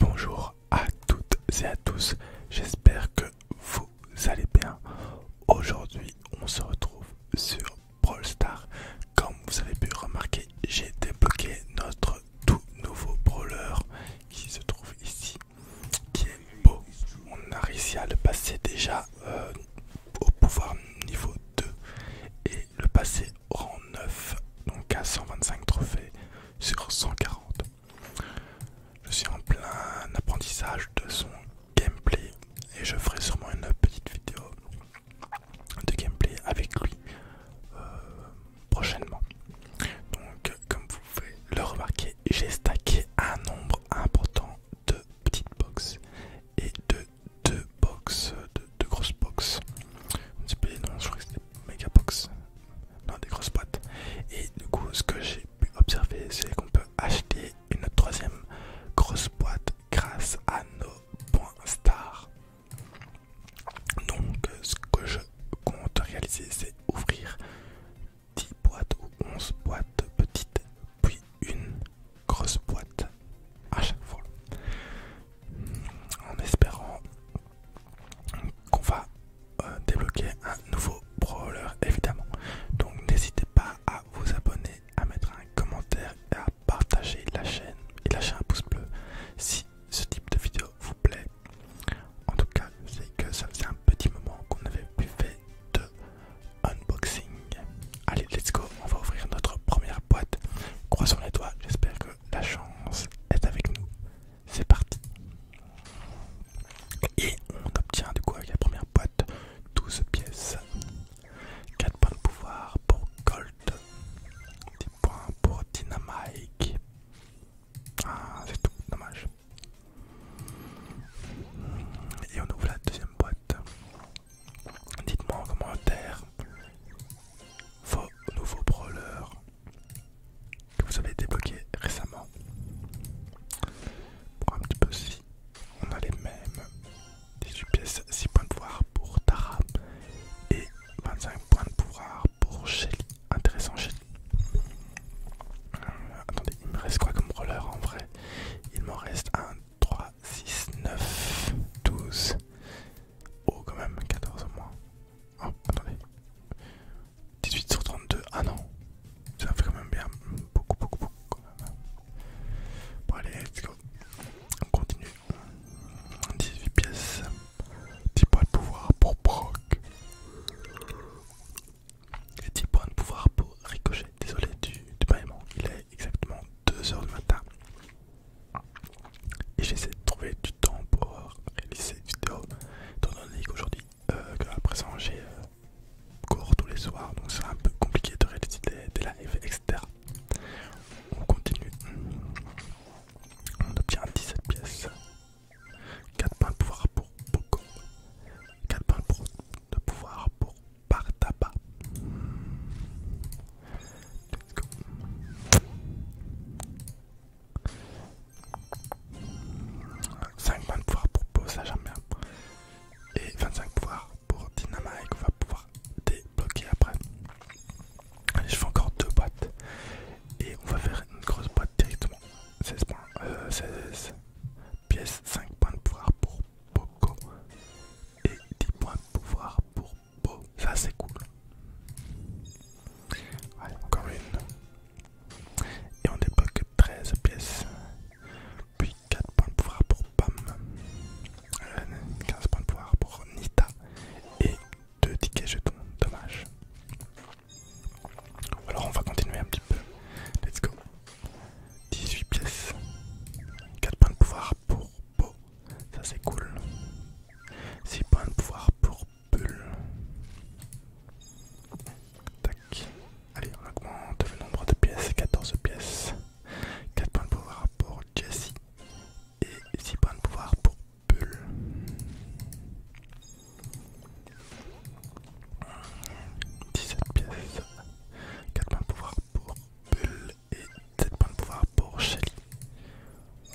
Bonjour à toutes et à tous, j'espère que vous allez bien. Aujourd'hui on se retrouve sur Brawl Stars. Comme vous avez pu remarquer, j'ai débloqué notre tout nouveau brawler qui se trouve ici, qui est beau. On a réussi à le passer déjà euh, au pouvoir niveau 2 et le passer rang 9, donc à 125 trophées sur 140. Je suis en plein apprentissage de son gameplay et je ferai sûrement une petite vidéo de gameplay avec lui euh, prochainement. Donc comme vous pouvez le remarquer, j'ai stacké un nombre important de petites boxes et de deux boxes de de grosses box. je crois que c'était mega box. Non, des grosses boîtes. Et du coup, ce que j'ai pu observer, c'est qu'on peut acheter une troisième grosse boîte grâce à nos points stars. Donc, ce que je compte réaliser, c'est ouvrir 10 boîtes ou 11 boîtes petites, puis une grosse boîte à chaque fois. En espérant qu'on va euh, débloquer un nouveau brawler évidemment. Donc n'hésitez pas à vous abonner, à mettre un commentaire et à partager la chaîne et lâcher un pouce bleu si ce type de vidéo vous plaît. En tout cas, c'est que ça faisait un petit moment qu'on avait plus fait de unboxing. Allez, let's go, on va ouvrir notre première boîte. Croisons les doigts, j'espère que la chance est avec nous. C'est parti. Et on obtient du coup avec la première boîte 12 pièces. 4 points de pouvoir pour Gold. 10 points pour dynamite Ah c'est tout, dommage. Et on ouvre la deuxième boîte. Dites-moi en commentaire vos nouveaux brawlers que vous avez débloqués récemment. Pour un petit peu aussi on a les mêmes 18 pièces, 6 points de pouvoir pour Tara et 25 points de pouvoir pour Shelly. Intéressant Shelly. Euh, attendez, il me reste quoi comme brawler en vrai Il m'en reste 1, 3, 6, 9, 12, Oh, quand même, 14 au moins. Oh, attendez. 18 sur 32. Ah non, ça fait quand même bien. Beaucoup, beaucoup, beaucoup quand même. Bon, allez, let's go. On continue. 18 pièces. 10 points de pouvoir pour Brock. Et 10 points de pouvoir pour Ricochet. Désolé du, du Il exactement 2h du matin. Et j'essaie de trouver du temps pour réaliser cette vidéo, étant donné qu'aujourd'hui, euh, à présent j'ai euh, cours tous les soirs, donc c'est un peu compliqué de réaliser des, lives, etc. On continue. On obtient 17 pièces. 4 points de pouvoir pour beaucoup. 4 points de pouvoir pour par tabac. Let's go. 5 points de pouvoir pour ça j'aime jamais. Et 25 pouvoir pour Dynamite qu'on va pouvoir débloquer après. Allez, je fais encore deux boîtes. Et on va faire une grosse boîte directement. 16 points. 16 euh, pièces, 5 points de pouvoir pour Poco et 10 points de pouvoir pour Beau. Ça c'est cool. Allez, encore une. Et on débloque 13 pièces. Puis 4 points de pouvoir pour Pam. 15 euh, points de pouvoir pour Nita. Et 2 tickets jetons. Dommage. Alors on va continuer un petit peu. Let's go. 18 pièces. 4 points de pouvoir pour Beau. Ça c'est cool. 6 points de pouvoir pour Bulle. Tac. Allez, on augmente le nombre de pièces. 14 pièces. 4 points de pouvoir pour Jessie. Et 6 points de pouvoir pour Bulle. 17 pièces, 4 points de pouvoir pour Bull et 7 points de pouvoir pour Shelly.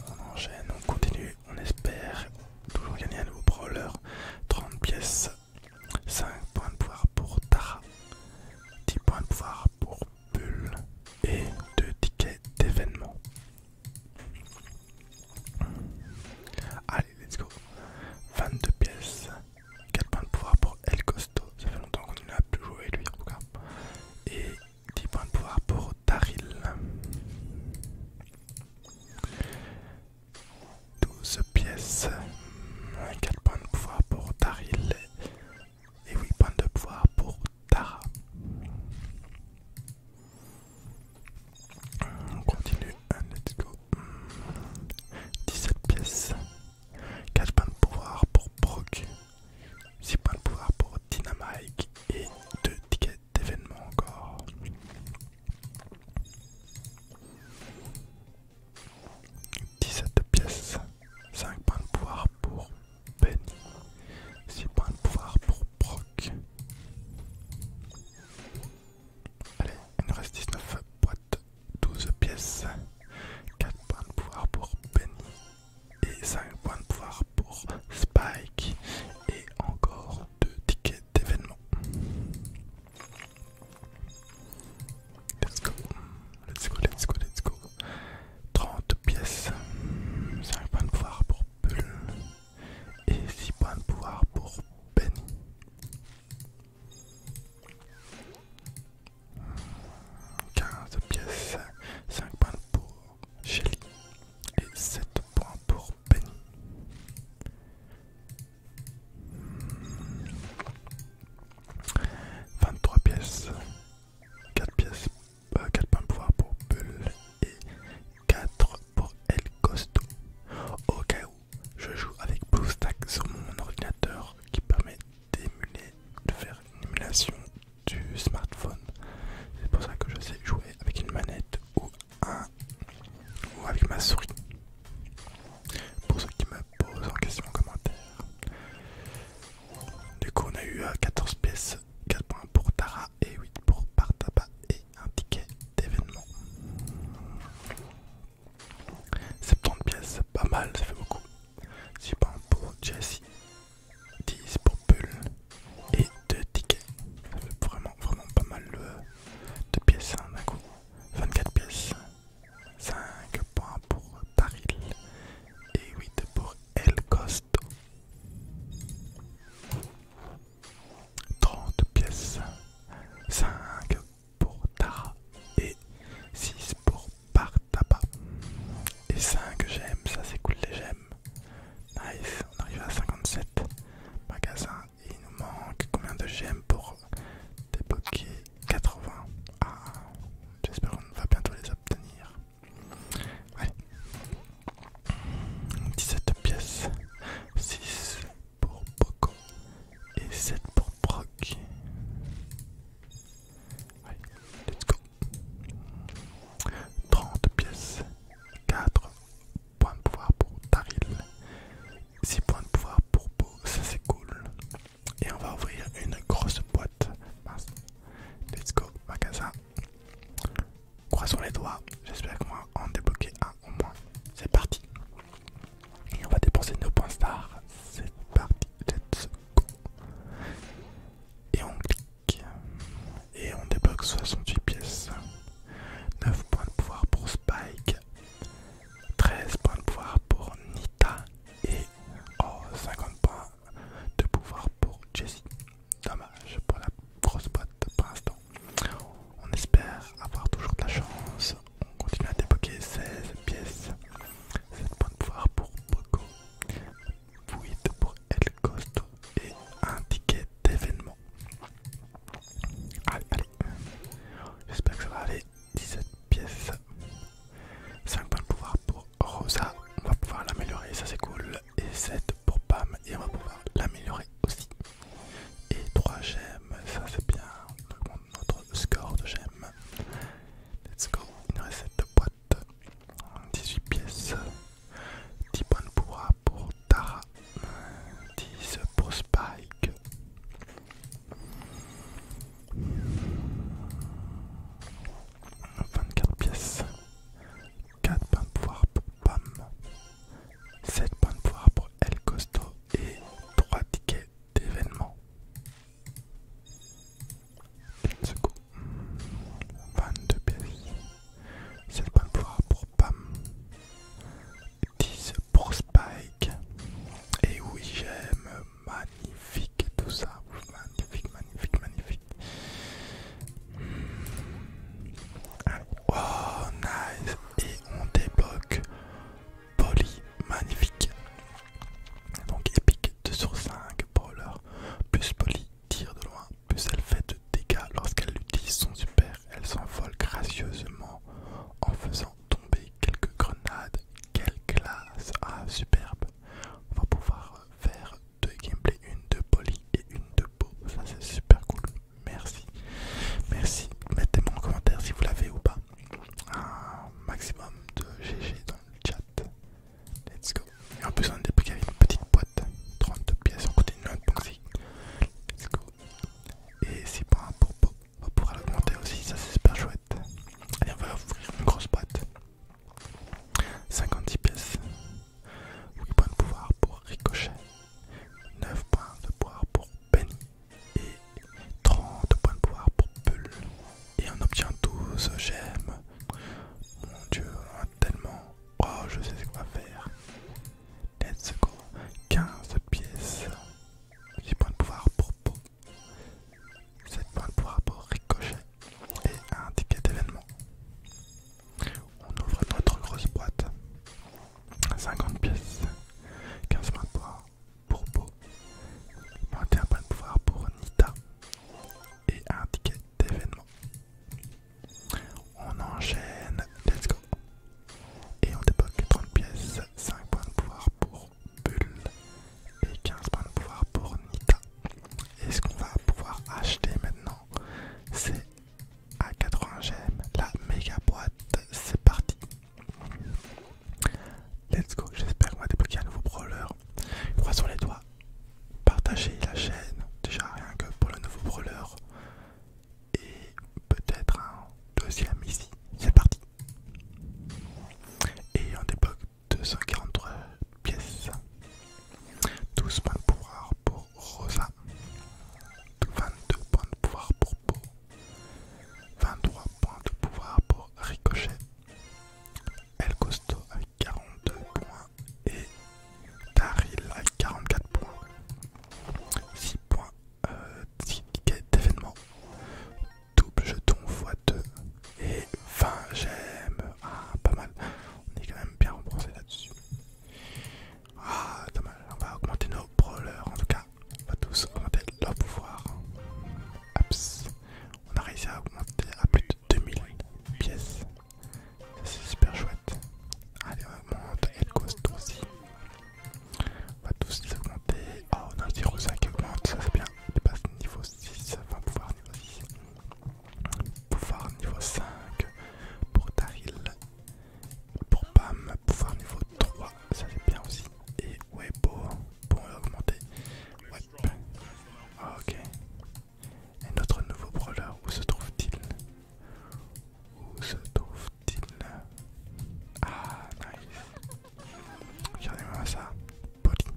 On enchaîne, on continue, on espère toujours gagner un nouveau brawler. 30 pièces, 5 points de pouvoir pour Tara, 10 points de pouvoir pour Bull et 2 tickets d'événement. Allez, let's go. 22 pièces, 4 points de pouvoir pour El Costo, ça fait longtemps qu'on ne l'a plus joué lui en tout cas. Et 10 points de pouvoir pour Taril 12 pièces, 4 points de pouvoir pour Taril et 8 points de pouvoir pour Tara. On continue, let's go. 17 pièces. 4 points de pouvoir pour Proc, 6 points de pouvoir pour Dynamite et 2 tickets d'événement encore. 17 pièces, 5 points de pouvoir pour Benny, 6 points de pouvoir pour Proc. Allez, il nous reste 19 boîtes, 12 pièces, 4 points de pouvoir pour Benny et 5 points de pouvoir pour Spike et encore 2 tickets d'événement. Let's go, let's go, let's go, let's go. 30 pièces, 5 points de pouvoir pour Bull et 6 points de pouvoir pour Benny. 15 pièces, 5 points pour Shelly et 7 points pour Penny. 23 pièces, 4 pièces, 4 euh, points de pouvoir pour Bull et 4 pour El Costo. Au cas où, je joue avec stack sur mon ordinateur qui permet d'émuler, de faire une émulation du smartphone. C'est pour ça que je sais jouer avec une manette ou, un, ou avec ma souris. Pour ceux qui me posent en question en commentaire. Du coup, on a eu 14 euh, pièces, 4 points pour Tara et 8 pour Partaba et un ticket d'événement. 70 pièces, pas mal, ça fait beaucoup. 6 points pour Jesse, 10 pour Pull et 2 tickets. Ça fait vraiment, vraiment pas mal 2 euh, pièces hein, d'un coup. 24 pièces, 5 points pour Taril et 8 pour El Costo. 30 pièces, 5 pour Tara et 6 pour Partaba Et 5 gemmes, ça c'est cool les gemmes. Nice, on arrive à 57 magasins. Il nous manque combien de gemmes pour débloquer 80 Ah, j'espère qu'on va bientôt les obtenir. Ouais. 17 pièces, 6 pour Poco et 7 pour Proc. let's go. 30 pièces, 4 points de pouvoir pour Taril, 6 points de pouvoir pour Po, ça c'est cool. Et on va ouvrir une grosse boîte. Let's go, magasin. Croisons les doigts, j'espère qu'on va en débloquer un au moins. C'est parti. Et on va dépenser nos points stars. C'est parti, let's go. Et on clique. Et on débloque 68 pièces. 9 points de pouvoir pour Spike. 13 points de pouvoir pour Nita. Et 50 points de pouvoir pour Jessie. Dommage pour la grosse boîte pour l'instant. On espère avoir toujours de la chance. On continue à débloquer 16 pièces. 7 points de pouvoir pour Poco, 8 pour El Costo et un ticket d'événement. Allez, allez. J'espère que ça va aller. 17 pièces. 5 points de pouvoir pour Rosa. On va pouvoir l'améliorer, ça c'est cool. Et 7 pour Pam et on va pouvoir l'améliorer aussi. Et 3 gemmes, ça fait bien, on notre score de gemmes. Let's go, Une recette de boîte, 18 pièces, 10 points de pour Tara, 10 pour Spike. 24 pièces. 4 points de pouvoir pour Pam, 7 points de pouvoir pour El Costo et 3 tickets d'événement. de secours. 22 pièces. 7 points de pouvoir pour Pam. 10 pour Spike. Et oui, j'aime. Magnifique tout ça magnifique, magnifique, magnifique. Oh, nice. Et on débloque Poly, magnifique. Donc épique 2 sur 5, brawler. Plus Poly tire de loin, plus elle fait de dégâts lorsqu'elle utilise son super. Elle s'envole gracieusement en faisant tomber quelques grenades. Quelle classe Ah, superbe On va pouvoir faire deux gameplays, une de Polly et une de Beau. Ça c'est super cool. Merci. Merci. Mettez-moi en commentaire si vous l'avez ou pas. Un maximum de GG dans le chat. Let's go. Et en plus on a débloqué avec une petite boîte. 32 pièces, on continue notre boxy Let's go. Et c'est pas pour Beau. On pourra l'augmenter aussi, ça c'est super chouette. Allez on va ouvrir une grosse boîte. 56 pièces, 8 points de pouvoir pour Ricochet, 9 points de pouvoir pour Penny et 30 points de pouvoir pour Bull. Et on obtient 12 gemmes. Mon dieu, on a tellement. Oh, je sais ce qu'on va faire. Let's go. 15 pièces, 10 points de pouvoir pour Po, 7 points de pouvoir pour Ricochet et un ticket d'événement. On ouvre notre grosse boîte. 50 pièces, 15 points de pouvoir pour Beau, 21 points de pouvoir pour Nita et un ticket d'événement. On enchaîne, let's go. Et on débloque 30 pièces, 5 points de pouvoir pour Bulle et 15 points de pouvoir pour Nita. Et ce qu'on va pouvoir acheter maintenant, c'est à 80 gemmes la méga boîte. C'est parti. Let's go. J'espère qu'on va débloquer un nouveau brawler. Croisons les doigts. Partagez la chaîne. Déjà rien que pour le nouveau brawler. Et peut-être un deuxième ici. C'est parti. Et on débloque 243 pièces. 12 points de pouvoir pour Rosa. 22 points de pouvoir pour Beau. 23 points de pouvoir pour Ricochet. El Costo avec 42 points et Daryl avec 44 points. 6 points euh, ticket d'événement double jeton x2 et 20 j'aime Ah, pas mal. On est quand même bien remboursé là-dessus. Ah, dommage. On va augmenter nos brawlers en tout cas. On va tous augmenter leur pouvoir. On a réussi à augmenter à plus de 2000 pièces. C'est super chouette. Allez, on augmente et le cost aussi. On va tous les augmenter. Oh, on a le 0,5, augmente, ça c'est bien il passe niveau 6, enfin pouvoir niveau 6, pouvoir niveau 5 pour Daril, pour Pam, pouvoir niveau 3, ça c'est bien aussi, et ouais, pour augmenter. Ouais. Ah, ok. Et notre nouveau brawler, où se trouve-t-il Où se trouve-t-il Ah, nice. Regardez-moi ça, Polly.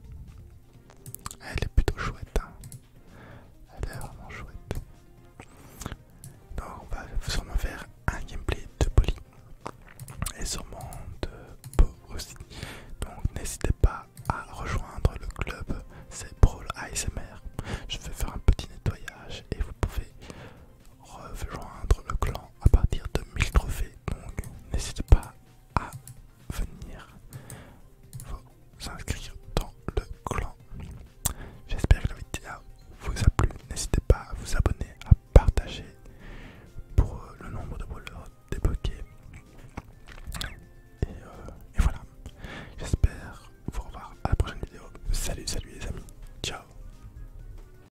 Elle est plutôt chouette. Hein. Elle est vraiment chouette. Donc on va sûrement faire un gameplay de Polly et sûrement de Beau aussi. Donc n'hésitez pas à rejoindre le club, c'est Brawl ASMR. Je vais faire un petit nettoyage et vous pouvez rejoindre le clan à partir de 1000 trophées. Donc n'hésitez pas à venir vous inscrire dans le clan. J'espère que la vidéo vous a plu. N'hésitez pas à vous abonner, à partager pour euh, le nombre de voleurs débloqués. Euh, et voilà. J'espère vous revoir à la prochaine vidéo. Salut, salut les amis. Ciao.